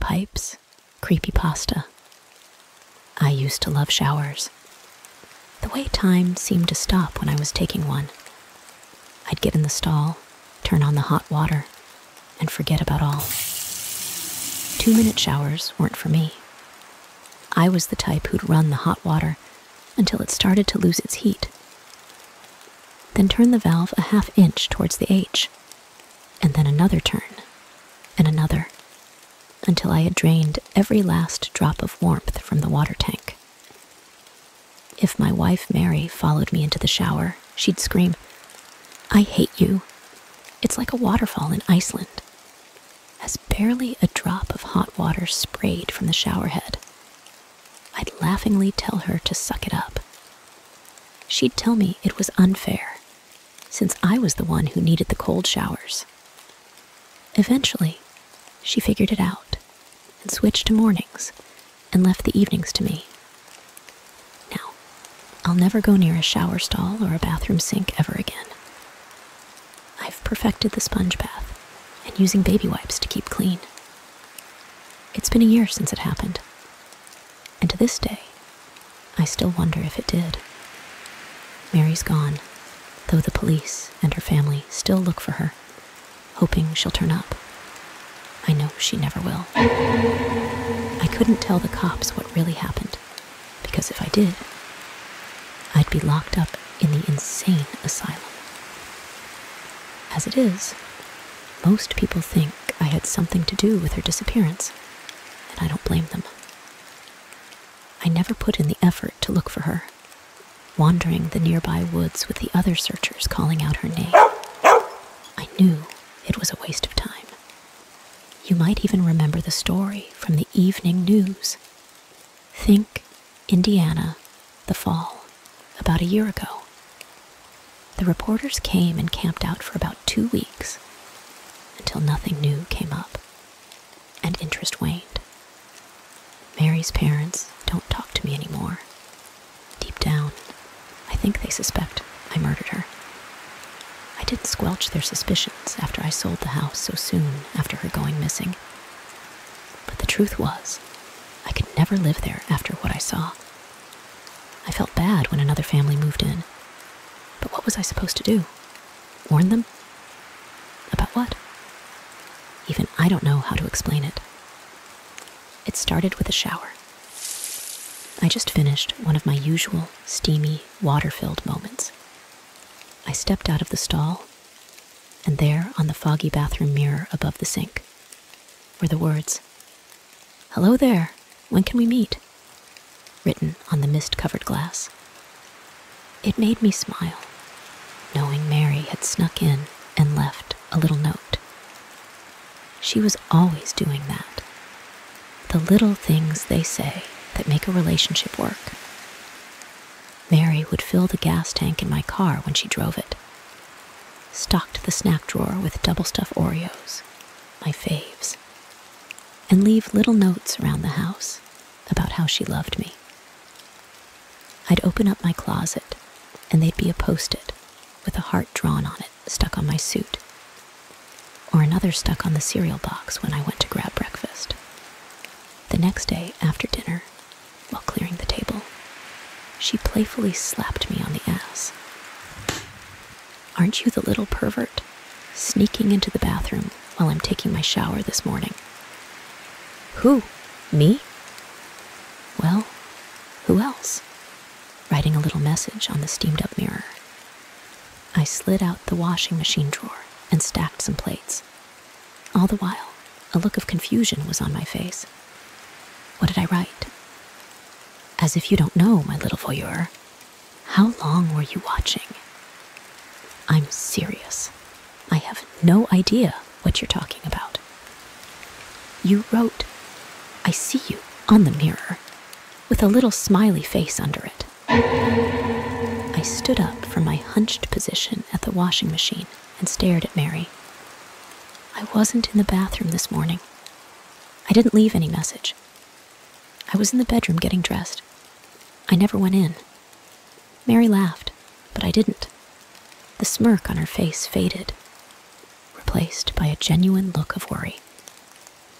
Pipes, creepy pasta. I used to love showers. The way time seemed to stop when I was taking one. I'd get in the stall, turn on the hot water, and forget about all. Two minute showers weren't for me. I was the type who'd run the hot water until it started to lose its heat. Then turn the valve a half inch towards the H, and then another turn, and another, until I had drained every last drop of warmth from the water tank. If my wife Mary followed me into the shower, she'd scream, I hate you. It's like a waterfall in Iceland. As barely a drop of hot water sprayed from the shower head I'd laughingly tell her to suck it up. She'd tell me it was unfair, since I was the one who needed the cold showers. Eventually, she figured it out and switched to mornings and left the evenings to me. Now, I'll never go near a shower stall or a bathroom sink ever again. I've perfected the sponge bath and using baby wipes to keep clean. It's been a year since it happened, and to this day, I still wonder if it did. Mary's gone, though the police and her family still look for her, hoping she'll turn up. I know she never will. I couldn't tell the cops what really happened, because if I did, I'd be locked up in the insane asylum. As it is, most people think I had something to do with her disappearance, and I don't blame them. I never put in the effort to look for her, wandering the nearby woods with the other searchers calling out her name. I knew it was a waste of time. You might even remember the story from the evening news Think Indiana, the fall, about a year ago. The reporters came and camped out for about two weeks until nothing new came up and interest waned. Mary's parents don't talk to me anymore. Deep down, I think they suspect I murdered her. I didn't squelch their suspicions after I sold the house so soon after her going missing. But the truth was, I could never live there after what I saw. I felt bad when another family moved in. But what was I supposed to do? Warn them? About what? Even I don't know how to explain it. It started with a shower. I just finished one of my usual steamy, water filled moments. I stepped out of the stall and there, on the foggy bathroom mirror above the sink, were the words Hello there, when can we meet? written on the mist covered glass. It made me smile, knowing Mary had snuck in and left a little note. She was always doing that. The little things they say that make a relationship work. Mary would fill the gas tank in my car when she drove it. Stocked the snack drawer with double stuff Oreos, my faves, and leave little notes around the house about how she loved me. I'd open up my closet, and they'd be a post it with a heart drawn on it stuck on my suit, or another stuck on the cereal box when I went to grab breakfast. The next day, after dinner, while clearing the table. She playfully slapped me on the ass. Aren't you the little pervert? Sneaking into the bathroom while I'm taking my shower this morning. Who? Me? Well, who else? Writing a little message on the steamed up mirror. I slid out the washing machine drawer and stacked some plates. All the while, a look of confusion was on my face. What did I write? As if you don't know, my little voyeur. How long were you watching? I'm serious. I have no idea what you're talking about. You wrote, I see you on the mirror, with a little smiley face under it. I stood up from my hunched position at the washing machine and stared at Mary. I wasn't in the bathroom this morning. I didn't leave any message. I was in the bedroom getting dressed. I never went in. Mary laughed, but I didn't. The smirk on her face faded, replaced by a genuine look of worry.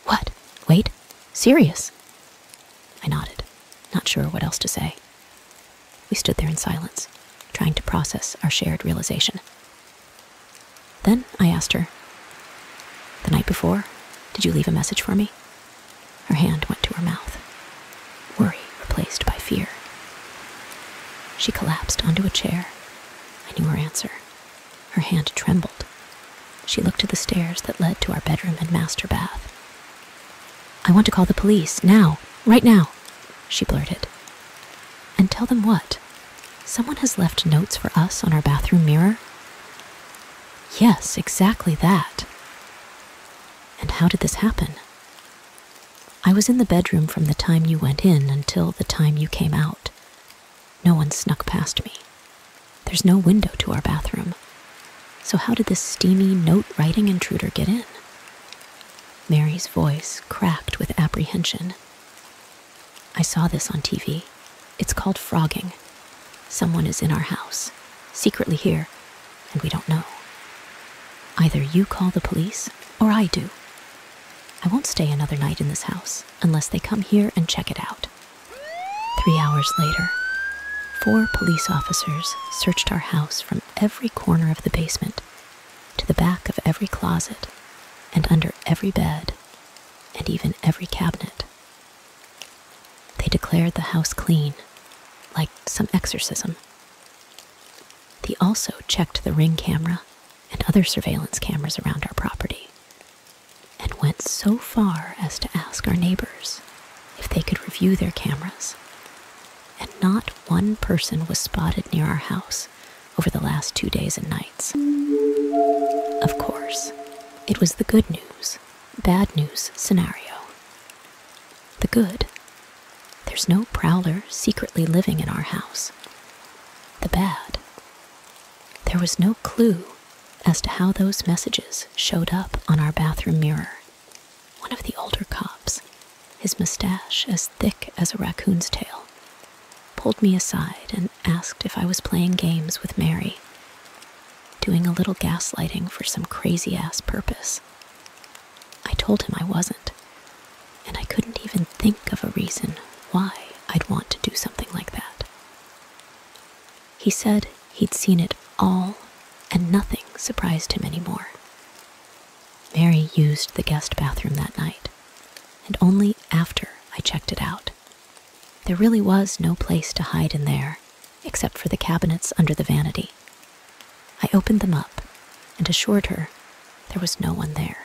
What? Wait? Serious? I nodded, not sure what else to say. We stood there in silence, trying to process our shared realization. Then I asked her, The night before, did you leave a message for me? Her hand went to her mouth, worry replaced by fear. She collapsed onto a chair. I knew her answer. Her hand trembled. She looked to the stairs that led to our bedroom and master bath. I want to call the police now, right now, she blurted. And tell them what? Someone has left notes for us on our bathroom mirror? Yes, exactly that. And how did this happen? I was in the bedroom from the time you went in until the time you came out. No one snuck past me. There's no window to our bathroom. So, how did this steamy note writing intruder get in? Mary's voice cracked with apprehension. I saw this on TV. It's called frogging. Someone is in our house, secretly here, and we don't know. Either you call the police or I do. I won't stay another night in this house unless they come here and check it out. Three hours later, four police officers searched our house from every corner of the basement, to the back of every closet, and under every bed, and even every cabinet. They declared the house clean, like some exorcism. They also checked the ring camera and other surveillance cameras around our property, and went so far as to ask our neighbors if they could review their cameras and not one person was spotted near our house over the last two days and nights. Of course, it was the good news, bad news scenario. The good there's no prowler secretly living in our house. The bad there was no clue as to how those messages showed up on our bathroom mirror one of the older cops, his mustache as thick as a raccoon's tail, pulled me aside and asked if I was playing games with Mary, doing a little gaslighting for some crazy ass purpose. I told him I wasn't, and I couldn't even think of a reason why I'd want to do something like that. He said He'd seen it all, and nothing surprised him anymore. Mary used the guest bathroom that night, and only after I checked it out. There really was no place to hide in there, except for the cabinets under the vanity. I opened them up and assured her there was no one there.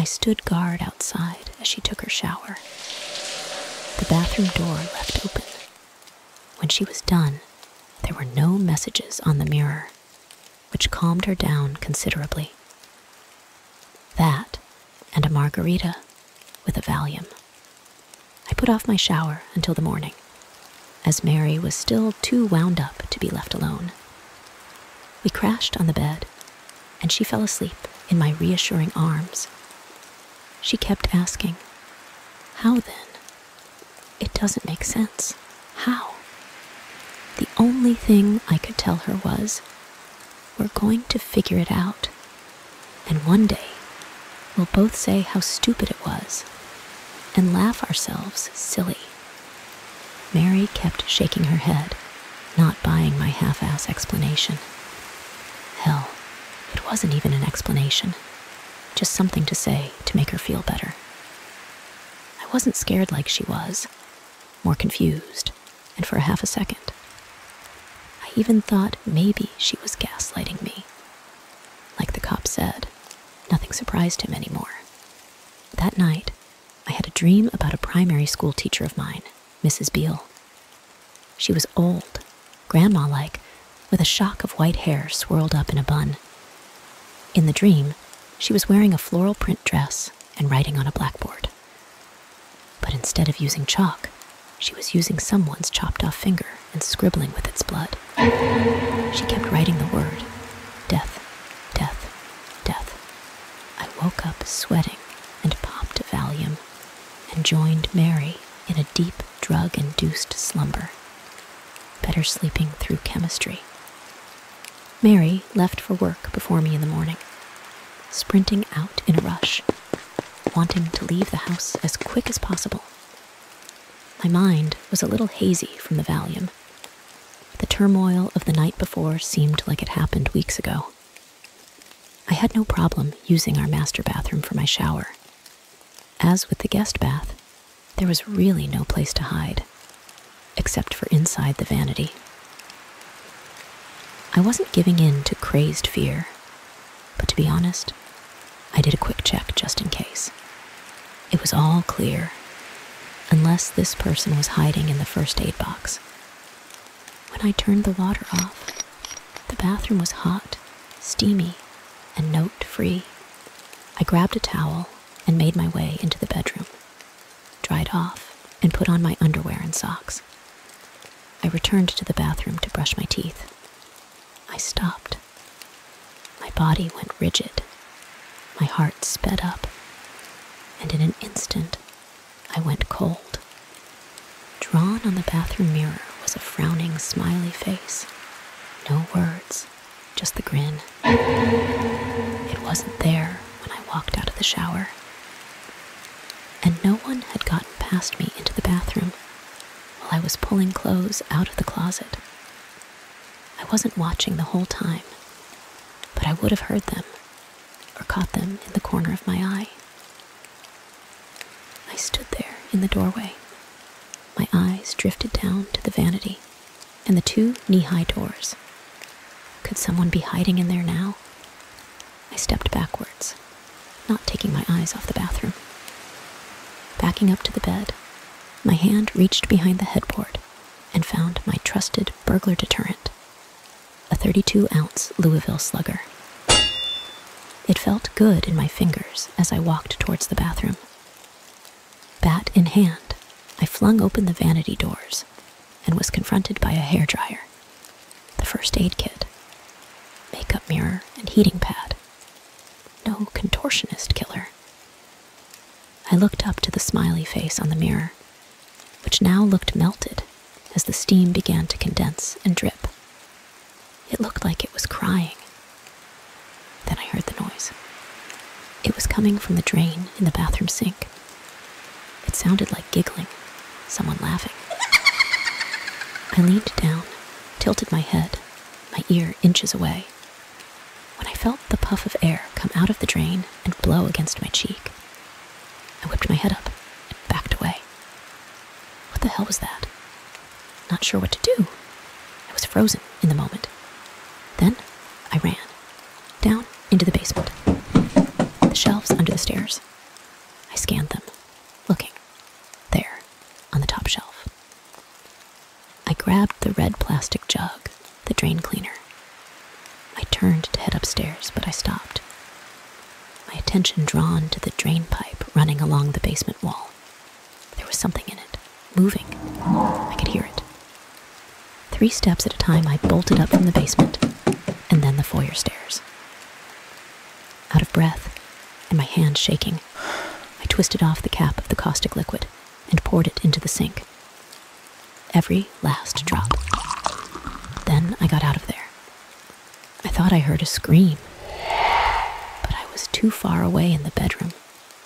I stood guard outside as she took her shower. The bathroom door left open, when she was done, there were no messages on the mirror, which calmed her down considerably. That and a margarita with a Valium. I put off my shower until the morning, as Mary was still too wound up to be left alone. We crashed on the bed, and she fell asleep in my reassuring arms, she kept asking, How then? It doesn't make sense. How? The only thing I could tell her was, We're going to figure it out. And one day, we'll both say how stupid it was and laugh ourselves silly. Mary kept shaking her head, not buying my half assed explanation. Hell, it wasn't even an explanation, just something to say to make her feel better. I wasn't scared like she was, more confused, and for half a second, I even thought maybe she was gaslighting me. Like the cop said, nothing surprised him anymore. That night, I had a dream about a primary school teacher of mine, Mrs. Beale, she was old, grandma like, with a shock of white hair swirled up in a bun. In the dream, she was wearing a floral print dress and writing on a blackboard. But instead of using chalk, she was using someone's chopped off finger and scribbling with its blood. She kept writing the word death, death, death. I woke up sweating and popped a Valium and joined Mary in a deep drug induced slumber, better sleeping through chemistry. Mary left for work before me in the morning, sprinting out in a rush, wanting to leave the house as quick as possible. My mind was a little hazy from the Valium. The turmoil of the night before seemed like it happened weeks ago. I had no problem using our master bathroom for my shower as with the guest bath, there was really no place to hide, except for inside the vanity. I wasn't giving in to crazed fear, but to be honest, I did a quick check just in case. It was all clear, unless this person was hiding in the first aid box. When I turned the water off, the bathroom was hot steamy, and note free. I grabbed a towel and made my way into the bedroom, dried off, and put on my underwear and socks. I returned to the bathroom to brush my teeth. I stopped. My body went rigid. My heart sped up. And in an instant, I went cold. Drawn on the bathroom mirror was a frowning, smiley face. No words, just the grin. It wasn't there when I walked out of the shower. And no one had gotten past me into the bathroom while I was pulling clothes out of the closet. I wasn't watching the whole time, but I would have heard them or caught them in the corner of my eye. I stood there in the doorway. My eyes drifted down to the vanity and the two knee high doors. Could someone be hiding in there now? I stepped backwards, not taking my eyes off the bathroom. Backing up to the bed, my hand reached behind the headboard and found my trusted burglar deterrent a 32 ounce Louisville slugger. It felt good in my fingers as I walked towards the bathroom. Bat in hand, I flung open the vanity doors and was confronted by a hairdryer, the first aid kit, makeup mirror, and heating pad. No contortionist killer. I looked up to the smiley face on the mirror, which now looked melted as the steam began to condense and drip. It looked like it was crying. Then I heard the noise. It was coming from the drain in the bathroom sink. It sounded like giggling, someone laughing. I leaned down, tilted my head, my ear inches away, when I felt the puff of air come out of the drain and blow against my cheek. I whipped my head up and backed away. What the hell was that? Not sure what to do. I was frozen in the moment. Then I ran down into the basement, the shelves under the stairs. I scanned them, looking there on the top shelf. I grabbed the red plastic jug, the drain cleaner. I turned to head upstairs, but I stopped my attention drawn to the drain pipe running along the basement wall. There was something in it, moving. I could hear it. Three steps at a time, I bolted up from the basement and then the foyer stairs. Out of breath and my hand shaking, I twisted off the cap of the caustic liquid and poured it into the sink. Every last drop. Then I got out of there I thought I heard a scream, but I was too far away in the bedroom,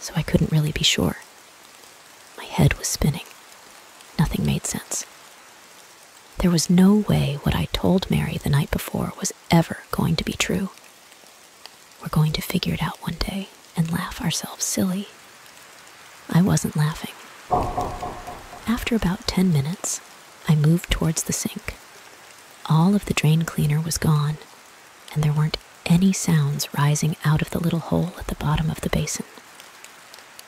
so I couldn't really be sure. My head was spinning. Nothing made sense. There was no way what I told Mary the night before was ever going to be true. We're going to figure it out one day and laugh ourselves silly. I wasn't laughing. After about 10 minutes, I moved towards the sink. All of the drain cleaner was gone, and there weren't any sounds rising out of the little hole at the bottom of the basin.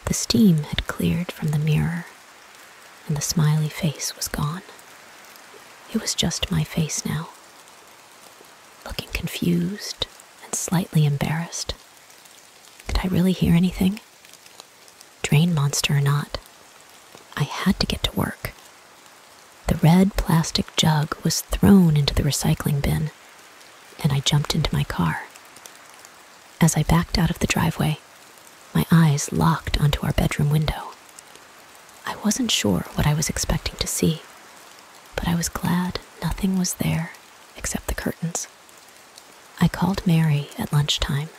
The steam had cleared from the mirror, and the smiley face was gone. It was just my face now, looking confused and slightly embarrassed. Did I really hear anything? Drain monster or not, I had to get to work. The red plastic jug was thrown into the recycling bin, and I jumped into my car. As I backed out of the driveway, my eyes locked onto our bedroom window. I wasn't sure what I was expecting to see, but I was glad nothing was there except the curtains. I called Mary at lunchtime,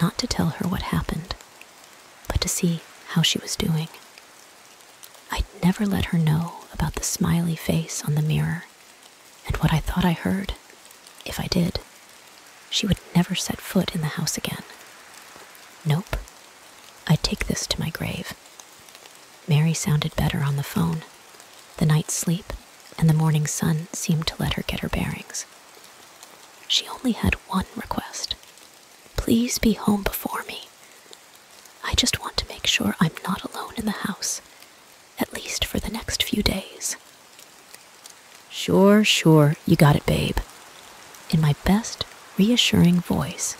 not to tell her what happened, but to see how she was doing. I'd never let her know about the smiley face on the mirror and what I thought I heard. If I did, she would never set foot in the house again. Nope. I'd take this to my grave. Mary sounded better on the phone. The night's sleep and the morning sun seemed to let her get her bearings. She only had one request Please be home before me. I just want to make sure I'm not alone in the house, at least for the next few days. Sure, sure, you got it, babe. In my best, reassuring voice.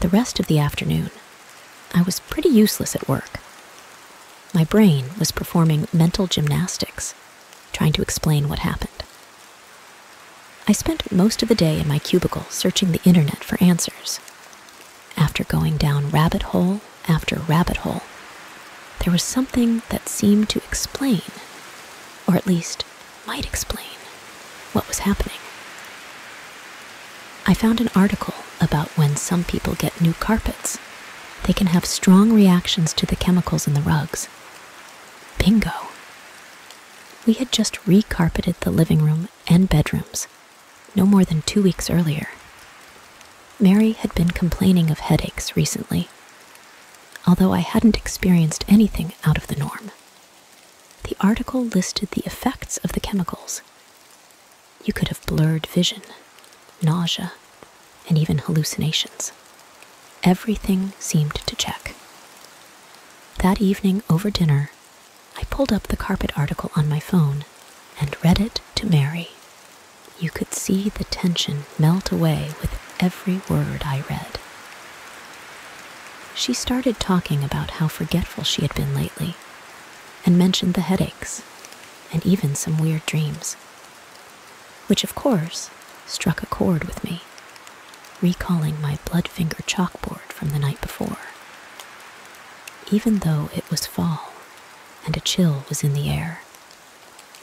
The rest of the afternoon, I was pretty useless at work. My brain was performing mental gymnastics trying to explain what happened. I spent most of the day in my cubicle searching the internet for answers. After going down rabbit hole after rabbit hole, there was something that seemed to explain, or at least might explain, what was happening. I found an article about when some people get new carpets they can have strong reactions to the chemicals in the rugs. Bingo! We had just recarpeted the living room and bedrooms no more than two weeks earlier. Mary had been complaining of headaches recently, although I hadn't experienced anything out of the norm. The article listed the effects of the chemicals. You could have blurred vision, nausea, and even hallucinations. Everything seemed to check. That evening over dinner, I pulled up the carpet article on my phone and read it to Mary. You could see the tension melt away with every word I read. She started talking about how forgetful she had been lately and mentioned the headaches and even some weird dreams which of course struck a chord with me, recalling my blood finger chalkboard from the night before. Even though it was fall and a chill was in the air,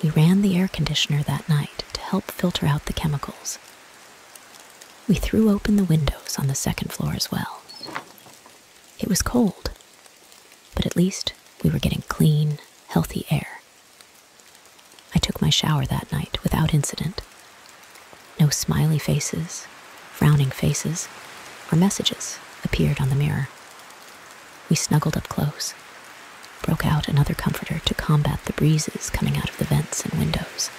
we ran the air conditioner that night to help filter out the chemicals. We threw open the windows on the second floor as well. It was cold, but at least we were getting clean, healthy air I took my shower that night without incident. No smiley faces, frowning faces, or messages appeared on the mirror. We snuggled up close, broke out another comforter to combat the breezes coming out of the vents and windows,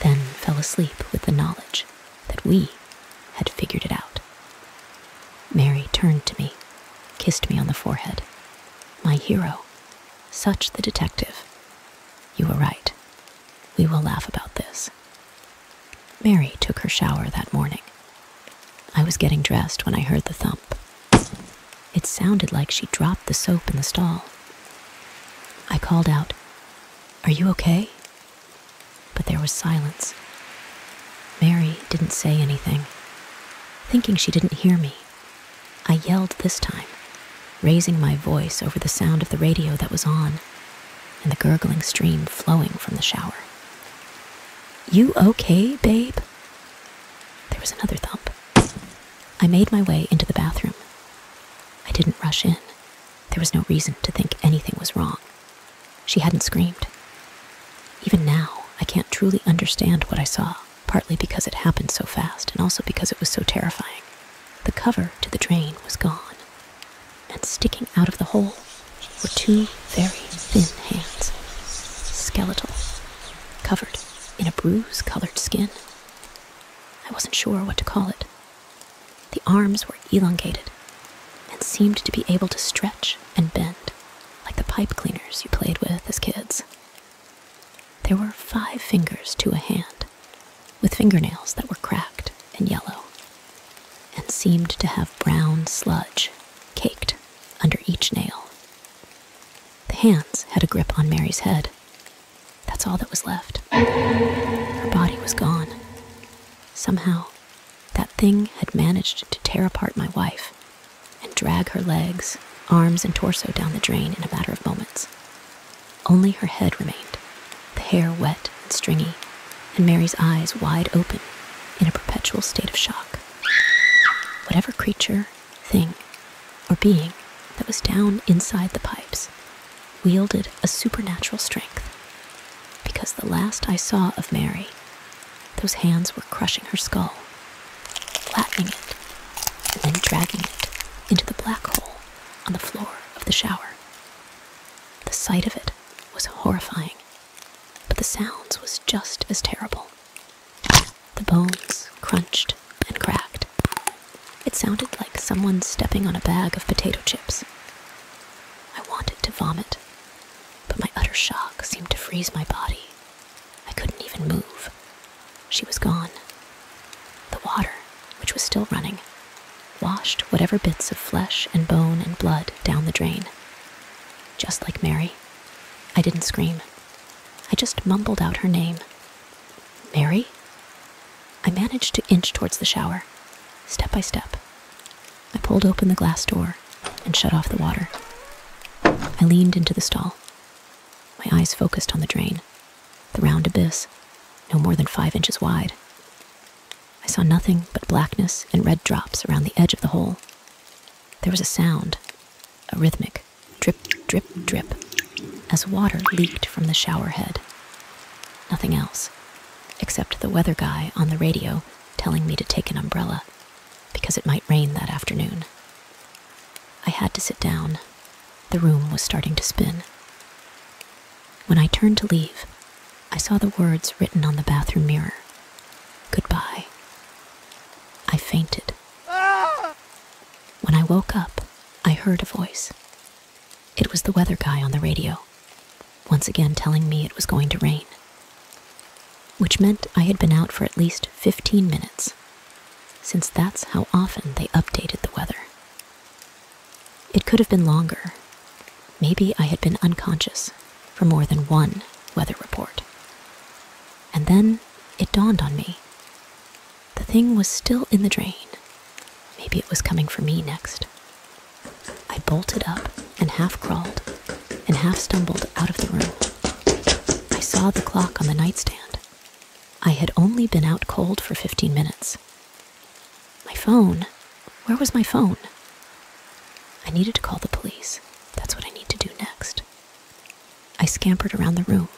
then fell asleep with the knowledge that we had figured it out. Mary turned to me, kissed me on the forehead. My hero, such the detective. You were right. We will laugh about this. Mary took her shower that morning. I was getting dressed when I heard the thump. It sounded like she dropped the soap in the stall. I called out, Are you okay? But there was silence. Mary didn't say anything. Thinking she didn't hear me, I yelled this time, raising my voice over the sound of the radio that was on and the gurgling stream flowing from the shower. You okay, babe? There was another thump. I made my way into the bathroom. I didn't rush in. There was no reason to think anything was wrong. She hadn't screamed. Even now, I can't truly understand what I saw, partly because it happened so fast and also because it was so terrifying. The cover to the drain was gone, and sticking out of the hole were two very thin hands, skeletal, covered in a bruise colored skin. I wasn't sure what to call it. The arms were elongated and seemed to be able to stretch and bend like the pipe cleaners you played with as kids. There were five fingers to a hand, with fingernails that were cracked and yellow, and seemed to have brown sludge caked under each nail. The hands had a grip on Mary's head. That's all that was left. Her body was gone. Somehow, that thing had managed to tear apart my wife and drag her legs, arms, and torso down the drain in a matter of moments. Only her head remained, the hair wet and stringy, and Mary's eyes wide open in a perpetual state of shock. Whatever creature, thing, or being that was down inside the pipes wielded a supernatural strength, because the last I saw of Mary those hands were crushing her skull, flattening it, and then dragging it into the black hole on the floor of the shower. The sight of it was horrifying, but the sounds was just as terrible. The bones crunched and cracked. It sounded like someone stepping on a bag of potato chips. I wanted to vomit, but my utter shock seemed to freeze my body I couldn't even move. She was gone. The water, which was still running, washed whatever bits of flesh and bone and blood down the drain. Just like Mary, I didn't scream. I just mumbled out her name. Mary? I managed to inch towards the shower, step by step, I pulled open the glass door and shut off the water. I leaned into the stall. My eyes focused on the drain, the round abyss, no more than five inches wide. I saw nothing but blackness and red drops around the edge of the hole. There was a sound, a rhythmic drip, drip, drip, as water leaked from the shower head. Nothing else, except the weather guy on the radio telling me to take an umbrella because it might rain that afternoon. I had to sit down. The room was starting to spin. When I turned to leave, I saw the words written on the bathroom mirror Goodbye. I fainted. When I woke up, I heard a voice. It was the weather guy on the radio, once again telling me it was going to rain which meant I had been out for at least 15 minutes, since that's how often they updated the weather. It could have been longer. Maybe I had been unconscious for more than one weather report. And then it dawned on me. The thing was still in the drain. Maybe it was coming for me next. I bolted up and half crawled and half stumbled out of the room. I saw the clock on the nightstand. I had only been out cold for 15 minutes. My phone. Where was my phone? I needed to call the police. That's what I need to do next. I scampered around the room,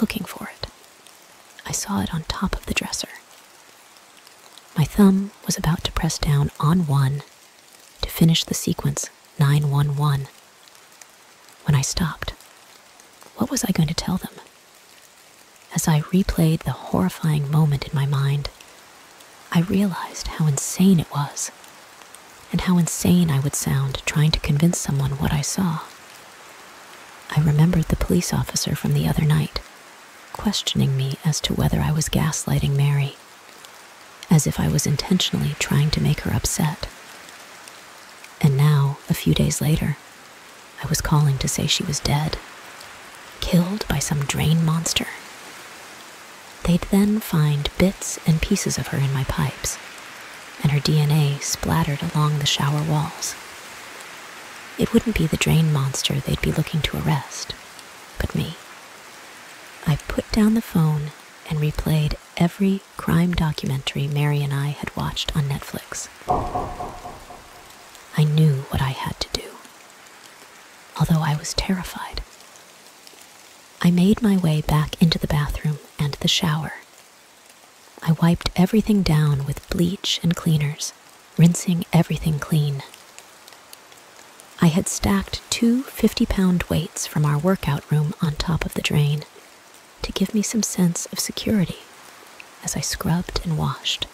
looking for it. I saw it on top of the dresser. My thumb was about to press down on one to finish the sequence was 911. When I stopped, what was I going to tell them? As I replayed the horrifying moment in my mind, I realized how insane it was, and how insane I would sound trying to convince someone what I saw. I remembered the police officer from the other night questioning me as to whether I was gaslighting Mary as if I was intentionally trying to make her upset. And now, a few days later, I was calling to say she was dead, killed by some drain monster. They'd then find bits and pieces of her in my pipes, and her DNA splattered along the shower walls. It wouldn't be the drain monster they'd be looking to arrest, but me. I put down the phone and replayed every crime documentary Mary and I had watched on Netflix. I knew what I had to do, although I was terrified. I made my way back into the bathroom and the shower. I wiped everything down with bleach and cleaners, rinsing everything clean, I had stacked two 50 pound weights from our workout room on top of the drain to give me some sense of security as I scrubbed and washed,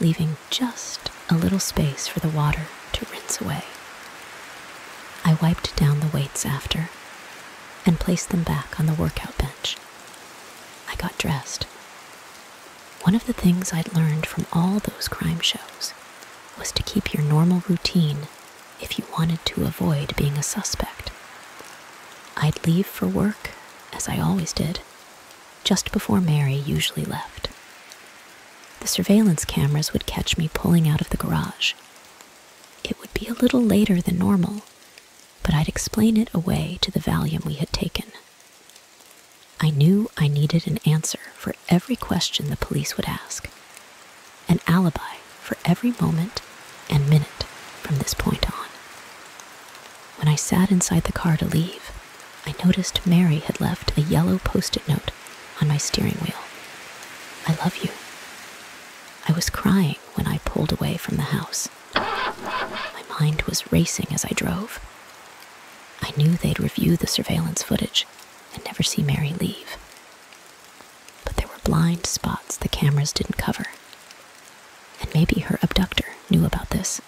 leaving just a little space for the water to rinse away. I wiped down the weights after and placed them back on the workout bench. I got dressed. One of the things I'd learned from all those crime shows was to keep your normal routine if you wanted to avoid being a suspect. I'd leave for work, as I always did, just before Mary usually left. The surveillance cameras would catch me pulling out of the garage. It would be a little later than normal, but I'd explain it away to the Valium we had taken. I knew I needed an answer for every question the police would ask, an alibi for every moment and minute from this point on. When I sat inside the car to leave, I noticed Mary had left a yellow post it note on my steering wheel. I love you. I was crying when I pulled away from the house. My mind was racing as I drove. I knew they'd review the surveillance footage and never see Mary leave. But there were blind spots the cameras didn't cover. And maybe her abductor knew about this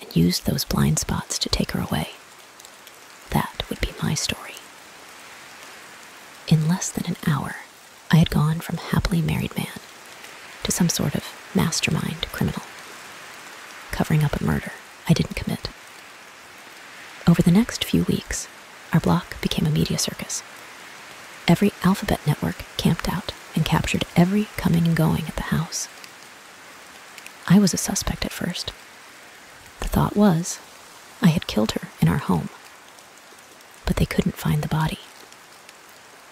and used those blind spots to take her away. That would be my story. In less than an hour, I had gone from happily married man to some sort of mastermind criminal, covering up a murder I didn't commit over the next few weeks, our block became a media circus. Every alphabet network camped out and captured every coming and going at the house. I was a suspect at first. The thought was, I had killed her in our home. But they couldn't find the body.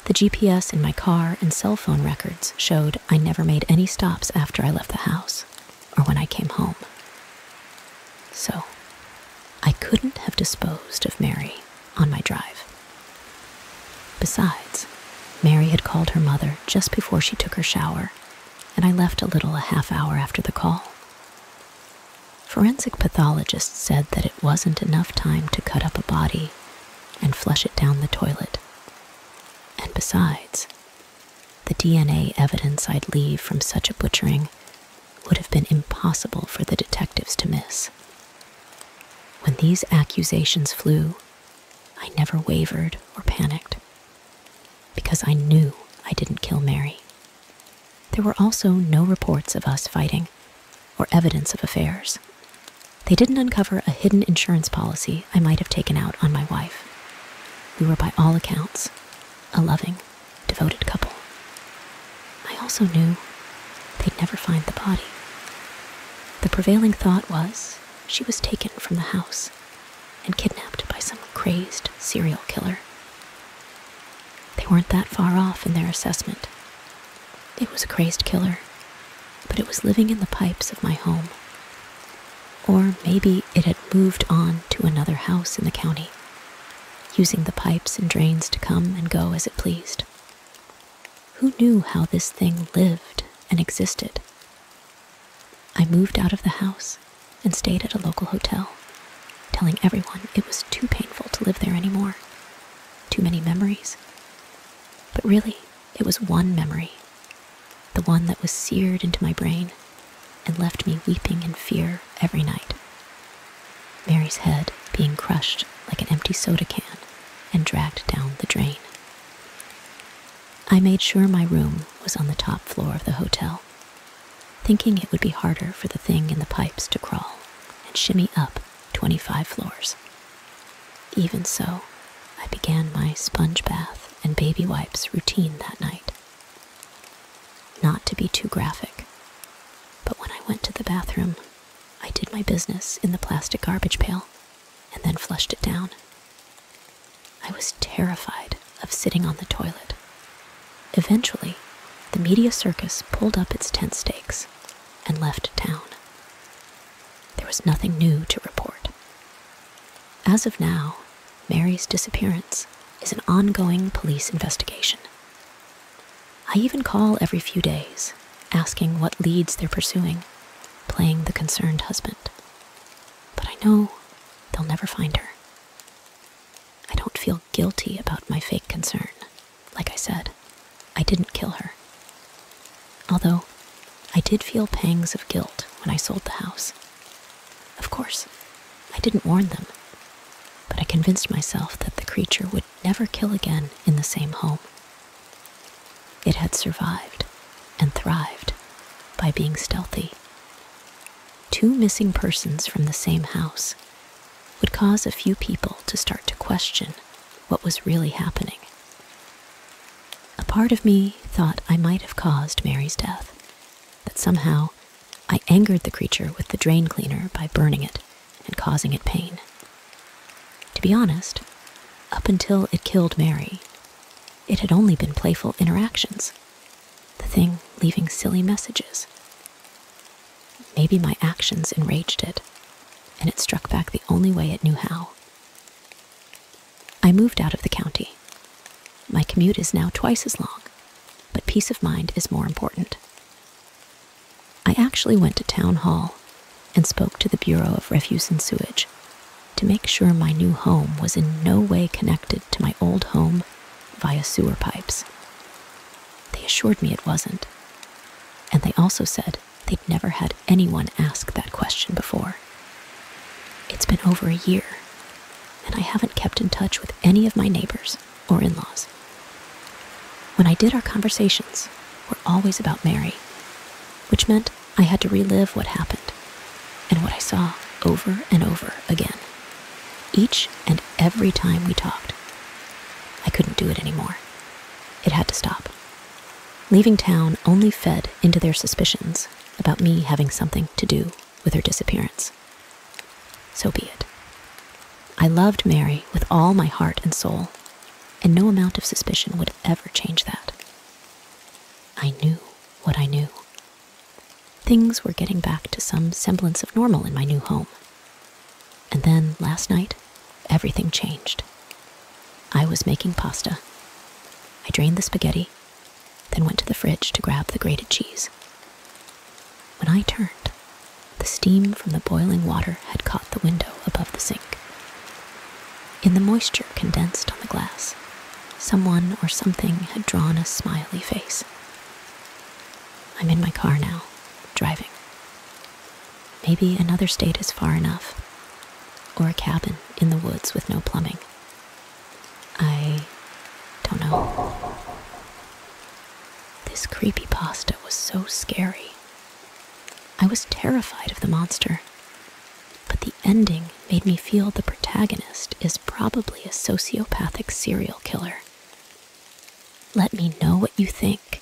The GPS in my car and cell phone records showed I never made any stops after I left the house or when I came home. So, I couldn't have disposed of Mary on my drive. Besides, Mary had called her mother just before she took her shower, and I left a little a half hour after the call. Forensic pathologists said that it wasn't enough time to cut up a body and flush it down the toilet. And besides, the DNA evidence I'd leave from such a butchering would have been impossible for the detectives to miss. When these accusations flew, I never wavered or panicked because I knew I didn't kill Mary. There were also no reports of us fighting or evidence of affairs. They didn't uncover a hidden insurance policy I might have taken out on my wife. We were by all accounts a loving, devoted couple. I also knew they'd never find the body. The prevailing thought was she was taken from the house and kidnapped by some crazed serial killer. They weren't that far off in their assessment. It was a crazed killer, but it was living in the pipes of my home, or maybe it had moved on to another house in the county, using the pipes and drains to come and go as it pleased. Who knew how this thing lived and existed? I moved out of the house and stayed at a local hotel, telling everyone it was too painful to live there anymore. Too many memories. But really, it was one memory the one that was seared into my brain and left me weeping in fear every night. Mary's head being crushed like an empty soda can and dragged down the drain. I made sure my room was on the top floor of the hotel, thinking it would be harder for the thing in the pipes to crawl and shimmy up 25 floors. Even so, I began my sponge bath and baby wipes routine that night. Not to be too graphic, but when I went to the bathroom, I did my business in the plastic garbage pail and then flushed it down. I was terrified of sitting on the toilet. Eventually, the media circus pulled up its tent stakes and left town. There was nothing new to report, as of now, Mary's disappearance is an ongoing police investigation. I even call every few days, asking what leads they're pursuing, playing the concerned husband. But I know they'll never find her. I don't feel guilty about my fake concern. Like I said, I didn't kill her. Although I did feel pangs of guilt when I sold the house. Of course, I didn't warn them, but I convinced myself that the creature would never kill again in the same home. It had survived and thrived by being stealthy. Two missing persons from the same house would cause a few people to start to question what was really happening. A part of me thought I might have caused Mary's death, that somehow I angered the creature with the drain cleaner by burning it and causing it pain. To be honest, up until it killed Mary, it had only been playful interactions, the thing leaving silly messages. Maybe my actions enraged it, and it struck back the only way it knew how. I moved out of the county. My commute is now twice as long, but peace of mind is more important. I actually went to town hall and spoke to the Bureau of Refuse and Sewage to make sure my new home was in no way connected to my old home via sewer pipes. They assured me it wasn't, and they also said they'd never had anyone ask that question before. It's been over a year, and I haven't kept in touch with any of my neighbors or in laws. When I did, our conversations were always about Mary, which meant I had to relive what happened and what I saw over and over again. Each and every time we talked, I couldn't do it anymore. It had to stop. Leaving town only fed into their suspicions about me having something to do with her disappearance. So be it. I loved Mary with all my heart and soul, and no amount of suspicion would ever change that. I knew what I knew. Things were getting back to some semblance of normal in my new home. And then last night, everything changed. I was making pasta. I drained the spaghetti then went to the fridge to grab the grated cheese. When I turned, the steam from the boiling water had caught the window above the sink. In the moisture condensed on the glass, someone or something had drawn a smiley face. I'm in my car now, driving. Maybe another state is far enough, or a cabin in the woods with no plumbing. I don't know. This creepy pasta was so scary. I was terrified of the monster, but the ending made me feel the protagonist is probably a sociopathic serial killer. Let me know what you think.